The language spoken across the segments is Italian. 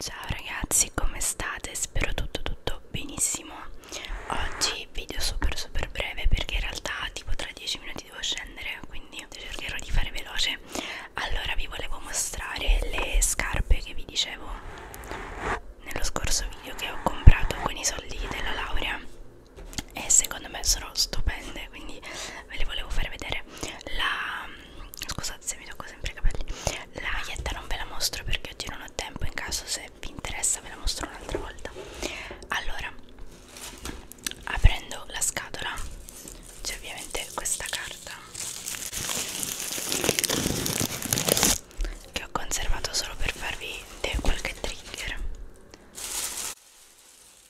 Ciao ragazzi, come state? Spero tutto tutto benissimo. Oggi video super super breve perché in realtà tipo tra 10 minuti devo scendere, quindi cercherò di fare veloce. Allora vi volevo mostrare le scarpe che vi dicevo nello scorso video che ho comprato con i soldi della laurea e secondo me sono stupende quindi ve le volevo fare vedere la scusate se mi tocco sempre i capelli la maglietta non ve la mostro perché oggi non ho tempo in caso se vi interessa ve la mostro un'altra volta allora aprendo la scatola c'è ovviamente questa carta che ho conservato solo per farvi qualche trigger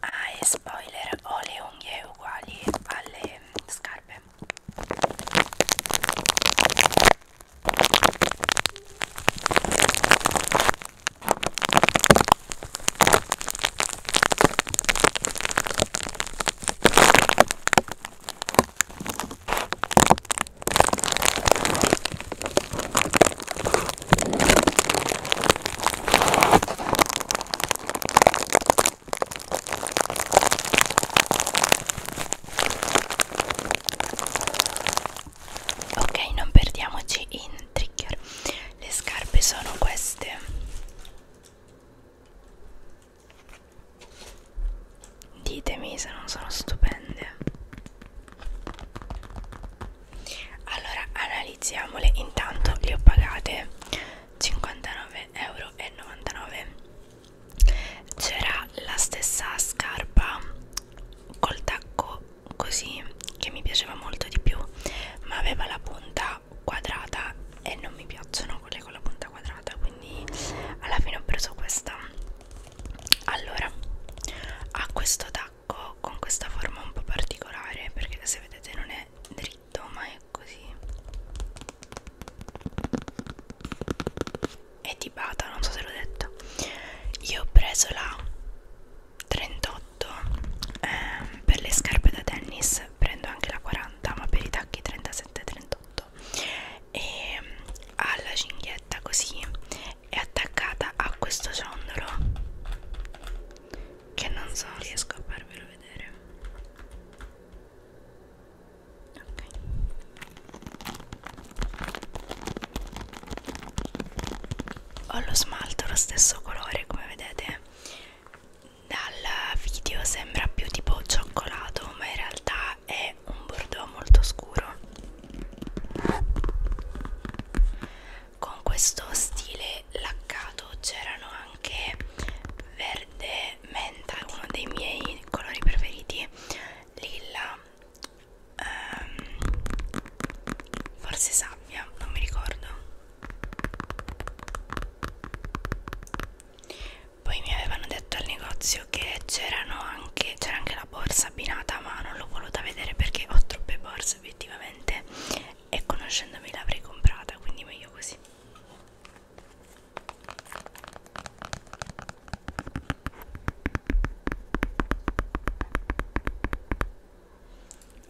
Ah, e spoiler, ho le unghie uguali alle scarpe. Ok, non perdiamoci in trigger. Le scarpe sono queste. Ditemi se non sono stupende. Allora analizziamole. Intanto le ho pagate 59,99 euro. C'era la stessa scarpa col tacco così che mi piaceva molto di più, ma aveva la punta quadrata e non mi piacciono quelle con la punta quadrata, quindi alla fine ho preso questa allora ha questo tacco con questa forma un po' particolare perché se vedete non è dritto ma è così è di bata non so se l'ho detto io ho preso la 38 eh, per le scarpe da tennis prendo anche la 40 ma per i tacchi 37 38 e mm, ha la cinghietta così è attaccata a questo ciondolo che non so riesco a farvelo vedere ok ho lo smalto lo stesso colore come vedete dal video sembra più tipo cioccolato ma in realtà è è un bordeaux molto scuro con questo stile laccato c'erano anche verde menta uno dei miei colori preferiti lilla ehm, forse sabbia non mi ricordo poi mi avevano detto al negozio che c'erano anche c'era anche la borsa abbinata ma non l'ho voluta vedere perché ho troppe borse obiettivamente e conoscendomi l'avrei comprata quindi meglio così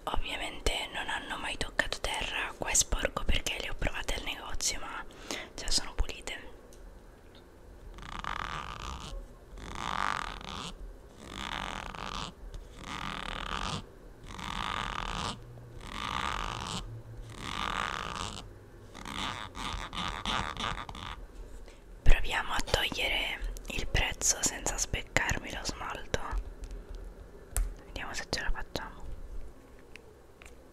Ovviamente non hanno mai toccato terra, qua è sporco perché le ho provate al negozio ma ma cioè sono pulite Proviamo a togliere il prezzo senza speccarmi lo smalto. Vediamo se ce la facciamo.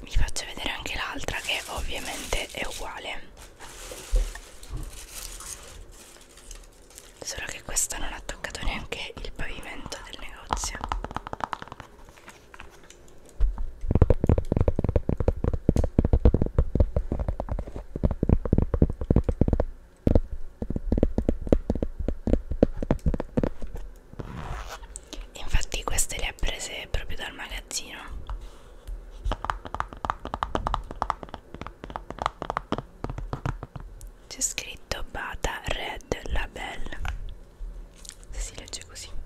Vi faccio vedere anche l'altra che ovviamente è uguale. Solo che questa non ha toccato neanche il pavimento del negozio. Infatti queste le ha prese proprio dal magazzino. C'è scritto Bata Red Label. Se si legge così.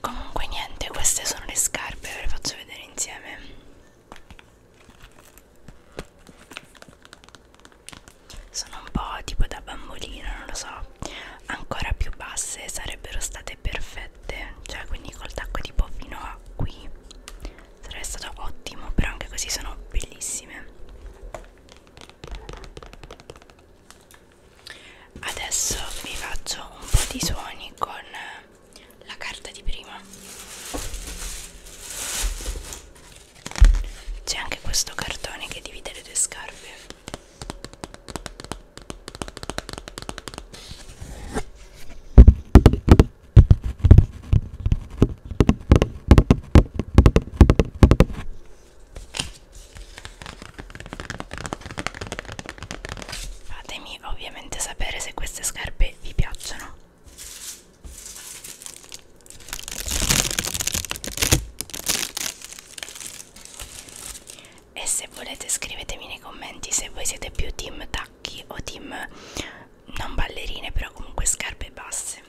comunque niente queste sono le scarpe ve le faccio vedere insieme sono un po' tipo da bambolina non lo so ancora più basse sarebbero state perfette cioè quindi col tacco tipo fino a qui sarebbe stato ottimo però anche così sono bellissime adesso vi faccio un po' di suoni con la carta di prima c'è anche questo cartone che divide le tue scarpe Fatemi ovviamente sapere se queste scarpe vi piacciono. E se volete scrivetemi nei commenti se voi siete più team tacchi o team non ballerine però comunque scarpe basse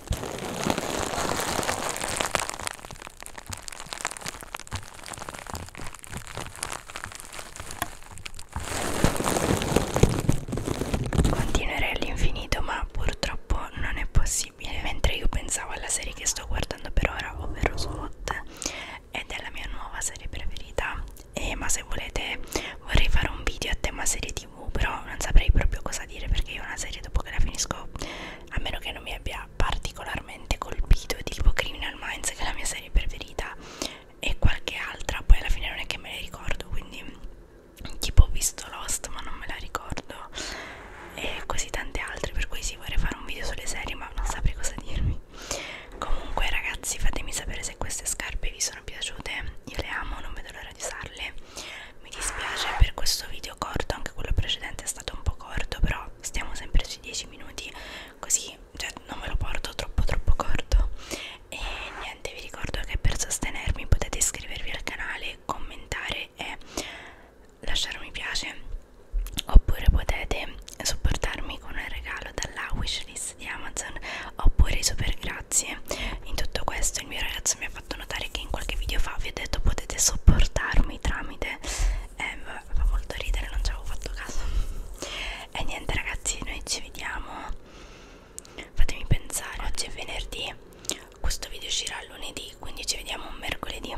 Continuerei all'infinito ma purtroppo non è possibile Mentre io pensavo alla serie che sto guardando per ora ovvero SWAT Ed è la mia nuova serie preferita e, Ma se volete vorrei fare un video a tema serie tv tv però non saprei proprio cosa dire perché io una serie dopo che la finisco a meno che non mi abbia particolarmente colpito tipo Criminal Minds che è la mia serie preferita e qualche altra poi alla fine non è che me le ricordo quindi tipo ho visto Lost ma non me la ricordo e così tante altre per cui sì vorrei fare un video sulle serie ma non saprei cosa dirvi comunque ragazzi fatemi sapere se queste scarpe vi sono piaciute io le amo non vedo l'ora di usarle mi dispiace per questo video corto anche quello precedente è stato un po' corto però stiamo sempre sui 10 minuti così cioè non me lo porto troppo troppo corto e niente vi ricordo che per sostenermi potete iscrivervi al canale commentare e lasciare un mi piace oppure potete supportarmi con un regalo dalla wishlist di Amazon oppure i super grazie in tutto questo il mio ragazzo mi ha ha fatto notare che in qualche video fa vi ho detto potete sopportarmi tramite eh, fa molto ridere non ci avevo fatto caso e niente ragazzi noi ci vediamo fatemi pensare oggi è venerdì questo video uscirà lunedì quindi ci vediamo mercoledì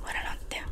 buonanotte